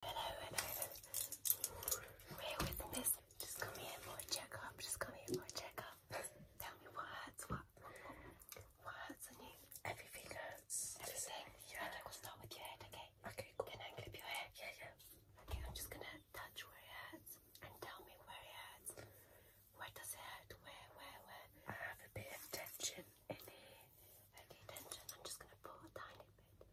hello, hello. Bear with this. Just come here for a checkup. Just come here for a checkup. Tell me what hurts, what, what hurts on you. Everything hurts. Everything? Yeah. Okay, we'll start with your head, okay? Okay, Can I clip your hair? Yeah, yeah. Okay, I'm just gonna touch where it hurts and tell me where it hurts. Where does it hurt? Where, where, where? I have a bit of tension in here. Okay, tension. I'm just gonna pull a tiny bit.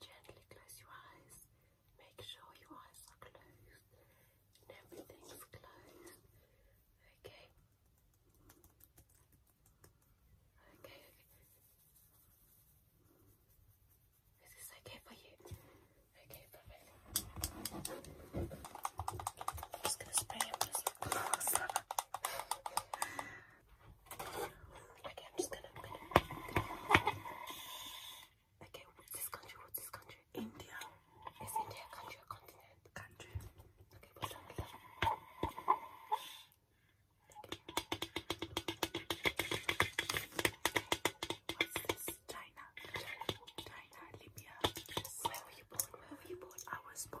Gently close your eyes. Make sure your eyes are closed and everything's closed. Okay. Okay, Is this okay for you? Okay, perfect. i just gonna spray Okay, I'm just gonna. Okay, what's this country? What's this country? India. Is India a country or continent? Country. Okay, what's that? What's that? this? China. China. Libya. Where were you born? Where were you born? I was born.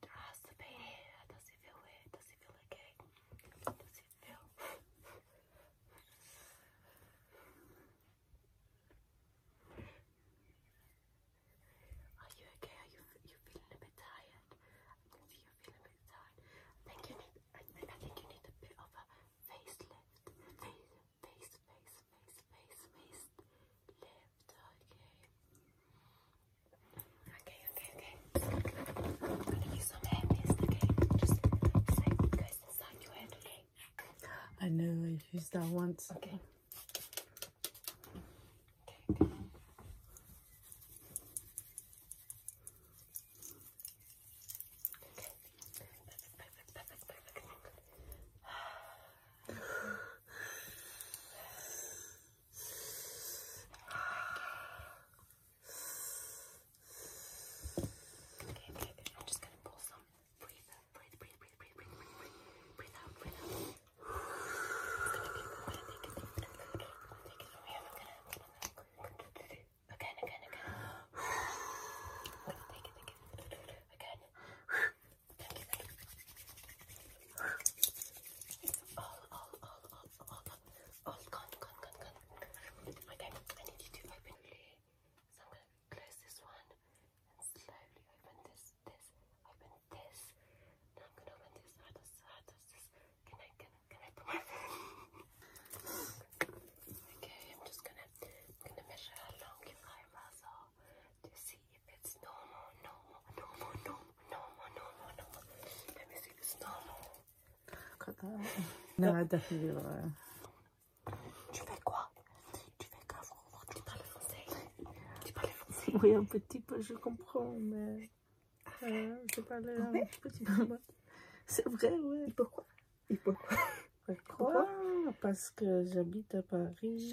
Does the pain here? Does it feel weird? Does it feel okay? Does it feel? Are you okay? Are you you feeling a bit tired? I you're a bit tired. I think you need. I think you need a bit of a facelift. Face, face, face, face, face, face lift. Okay. Okay, okay, okay. I'm gonna use some hair mist, okay? Just so it goes inside your head, okay? I know i used that once. Okay. Okay, okay. Okay, okay, okay. I'm just gonna pull some. Breathe, breathe, breathe, breathe, breathe, breathe, breathe, breathe, breathe out, breathe out. It's gonna be. I'm gonna take it. I'm gonna take it from here. I'm gonna. Again, again, again. I'm gonna take it again. Again. It's all, all, all, all, all, all gone, gone, gone, gone. Okay, I need you to open really. So I'm gonna close this one and slowly open this, this, open this. Now I'm gonna open this. How does, how does this? Can I, can, can I put my Okay, I'm just gonna, I'm gonna measure how long your eyebrows are. Do you see? Tu fais quoi Tu fais quoi Tu parles français Oui, un petit peu, je comprends, mais... Euh, je parle C'est vrai, ouais. Et pourquoi pourquoi Parce que j'habite à Paris.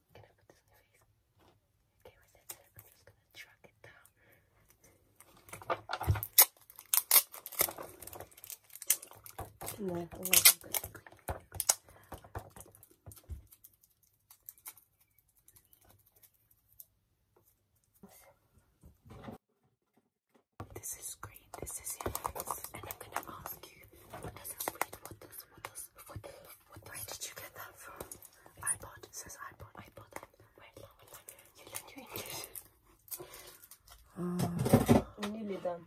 Can I put this on your face? Okay, with said, I'm just gonna truck it down. And This is great. This is your and I'm gonna ask you what does it read? What does what does what, what Where did you get that from? iPod. It says iPod. I bought that. Where did you learn your English? Uh, Nearly done.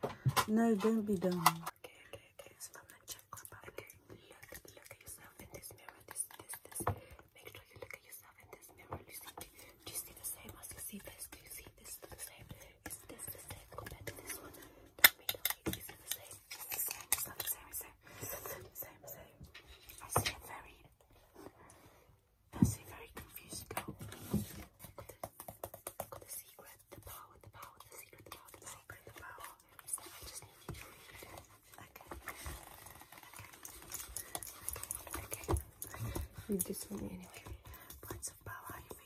No, don't be dumb. Okay, okay, okay. So I'm gonna check up. Okay, look, look at yourself in this mirror. This, this, this. Make sure you look at yourself in this mirror. Do you see, do you see the same as you see this? Do you see this the same? Is this the same compared to this one? I see a very, I see very confused girl. Got the, secret, the power, the power, the secret, the power, the secret, the power. So I Okay. Okay. Okay.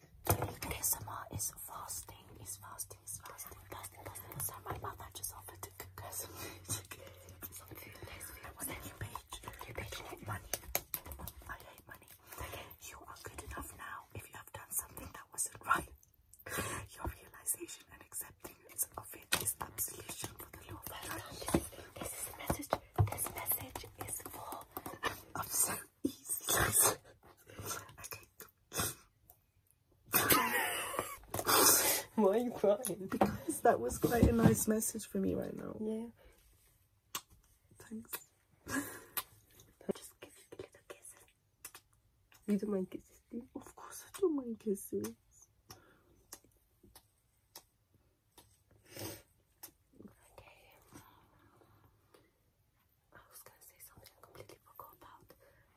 ASMR is fasting, is fasting, is fasting, fasting, fasting. my mother just offered to cook you paid, money. I hate money. You are good enough now if you have done something that wasn't right. Your realization and acceptance of it is absolution for the law This message. This message is for. I'm so easy. okay, why are you crying? Because that was quite a nice message for me right now. Yeah. Thanks. Just give you a little kiss. You don't mind kisses, do you? Of course I don't mind kisses. Okay. I was gonna say something I completely forgot about.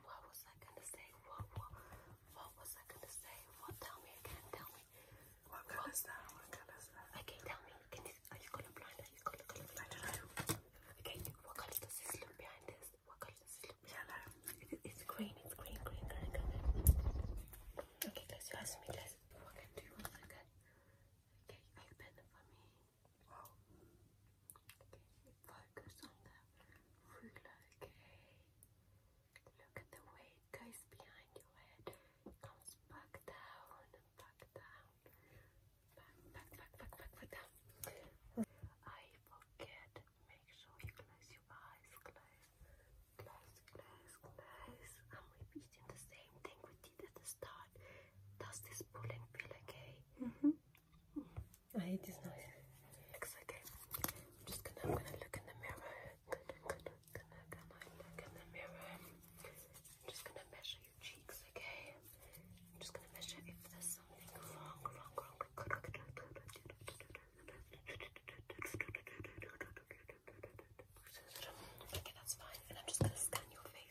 What was I gonna say? What what what was I gonna say? What tell me again, tell me. What color is that? What color is that? Okay, tell me. Can you, are you colorblind? Are you color colorblind? I don't know. Okay, what color does this look behind this? What color does this look behind yeah, no. it, It's green, it's green, green, green, green. Okay, guys, you ask me guys. What can do? What I Okay, open it for me focus on the ruler, okay? Look at the way it goes behind your head. comes back down and back down. Back, back, back, back, back, down. I forget. Make sure you close your eyes. Close, close, close, close. I'm repeating the same same thing we did at the start. Does this pulling feel okay? -hmm. I hate this noise. Looks okay. I'm just gonna, I'm gonna look in the mirror. Gonna, gonna, gonna, gonna look in the mirror. I'm just gonna measure your cheeks, okay? I'm just gonna measure if there's something wrong, Okay, that's fine. And I'm just gonna scan your face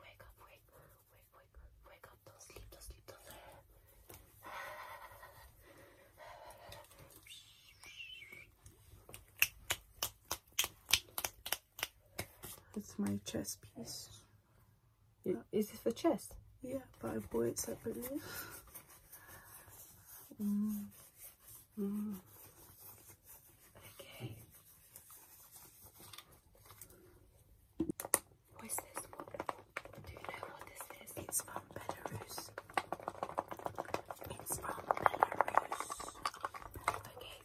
Wake up, wake, wake, wake, wake up, don't sleep, don't sleep, don't sleep. It's my chest piece. Is, is this the chest? Yeah, but I bought it separately. Mm. Mm. Okay. What is this Do you know what this is? It's from Belarus. It's from Belarus. Okay,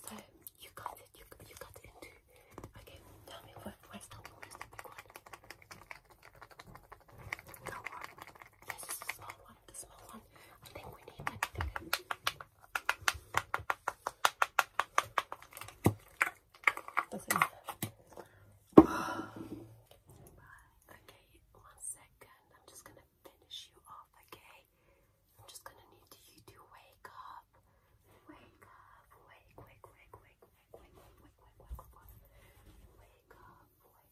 so you got it. You, you it into. Okay, tell me where, where's the this is the small one, the small one. I think we need that okay, one second. I'm just gonna finish you off, okay? I'm just gonna need you to wake up. Wake up, wake, wake, wake, wake, wake, wake, wake, wake, wake, wake, wake, wake, wake up, wake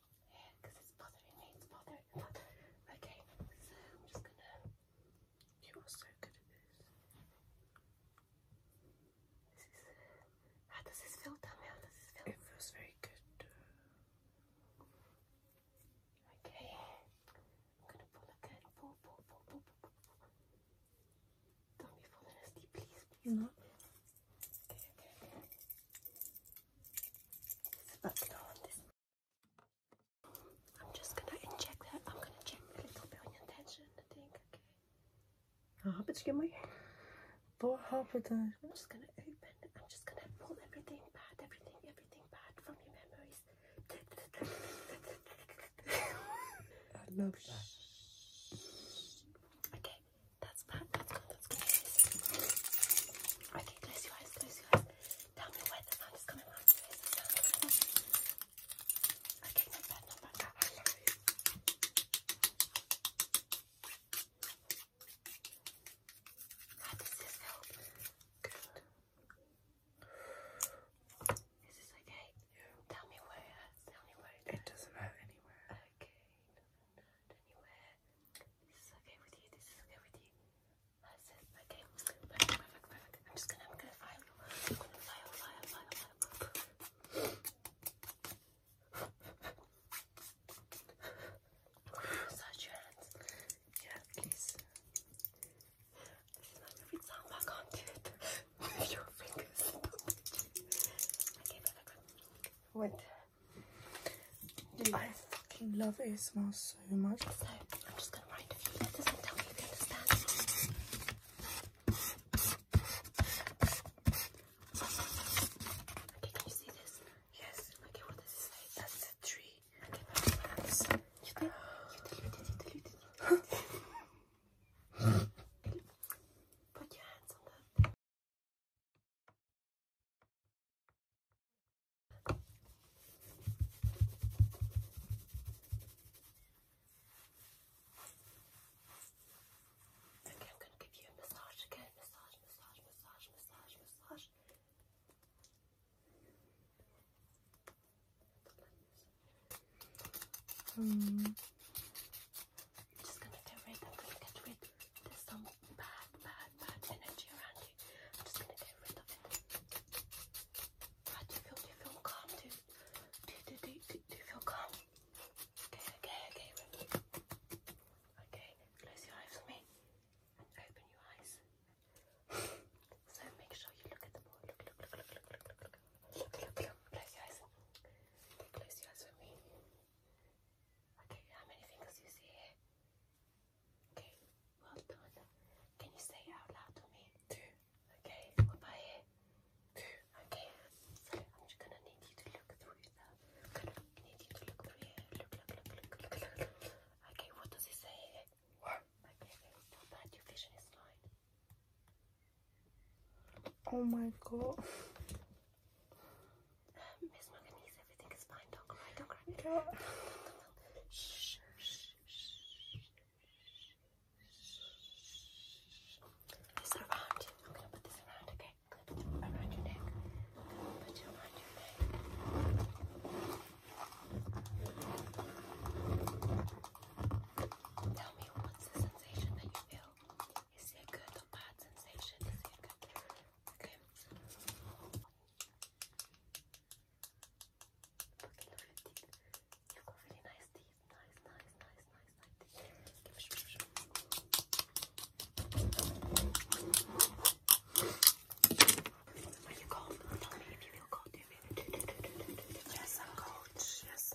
Yeah, it's bothering me, it's bothering Okay, so I'm just gonna. You're so good at this. How does this feel, Tommy? How does this feel? It feels very good. Okay, I'm gonna pull again. Pull, pull, pull, pull, pull, pull. Don't be falling asleep, please, please. I'm just gonna inject that. I'm gonna check a little bit of your tension, I think, okay? Ah, excuse me. For half a time. I'm just gonna open. I'm just gonna pull everything bad, everything, everything bad from your memories. I love that. Okay, that's bad. That's good. That's good. Okay, close your eyes. Close your eyes. Tell me where the sound is coming from. Okay, not bad. Not How does this help? Good. Is okay? Tell me where Tell me where it doesn't hurt anywhere. Okay. This is okay with you. This is okay with you. That's it. Okay. Perfect. Perfect. Perfect. I'm just gonna. I'm gonna file. I'm gonna file. File. File. File. Search your hands. Yeah, please. This is my favorite song, but I can't do it. Move your fingers. okay, perfect with. I fucking love ASMR so much. So I'm just gonna write letters and tell me if you understand. Okay, can you see this? Yes. Okay, what does it That's a tree. Okay, Put your hands on that. Okay, I'm going to give you a massage again. Massage, massage, massage, massage, massage. Um, you're just gonna get rid, I'm gonna get rid. There's some bad, bad, bad energy around you. I'm just gonna get rid of it. How do you feel? Do you feel calm? Do, do, do, do, do, do you feel calm? Okay, okay, okay. Okay, close your eyes for me and open your eyes. so make sure you look at the board. Look, look, look, look, look, look, look, look, look, look, look. Close your eyes. Close your eyes for me. Okay, how many fingers do you see Okay, well done. Can you say out loud to me? Two. Okay, what about here? Two. Okay, so I'm just gonna need you to look through it now. I need you to look through Look, look, look, look, look, look, Okay, what does it say here? One. Not bad. Your vision is fine. Oh my god. Miss Manganese, everything is fine. Don't cry, don't cry. do This around. I'm gonna put this around, okay? around your neck. put it around your neck. Tell me what's the sensation that you feel. Is it good or bad sensation? Is it good? Okay. Okay, look at You've really nice teeth. Nice, nice, nice, nice, nice teeth. Are you cold? Tell me if you feel cold. Yes, I'm cold. Yes,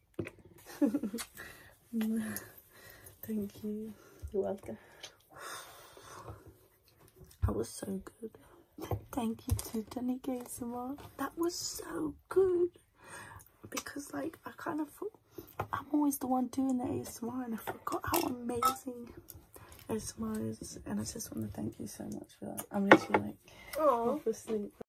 Thank you. You're welcome. That was so good. Thank you to Danny ASMR. That was so good. Because like I kind of thought I'm always the one doing the ASMR and I forgot how amazing ASMR is and I just want to thank you so much for that. I'm literally like Aww. half asleep.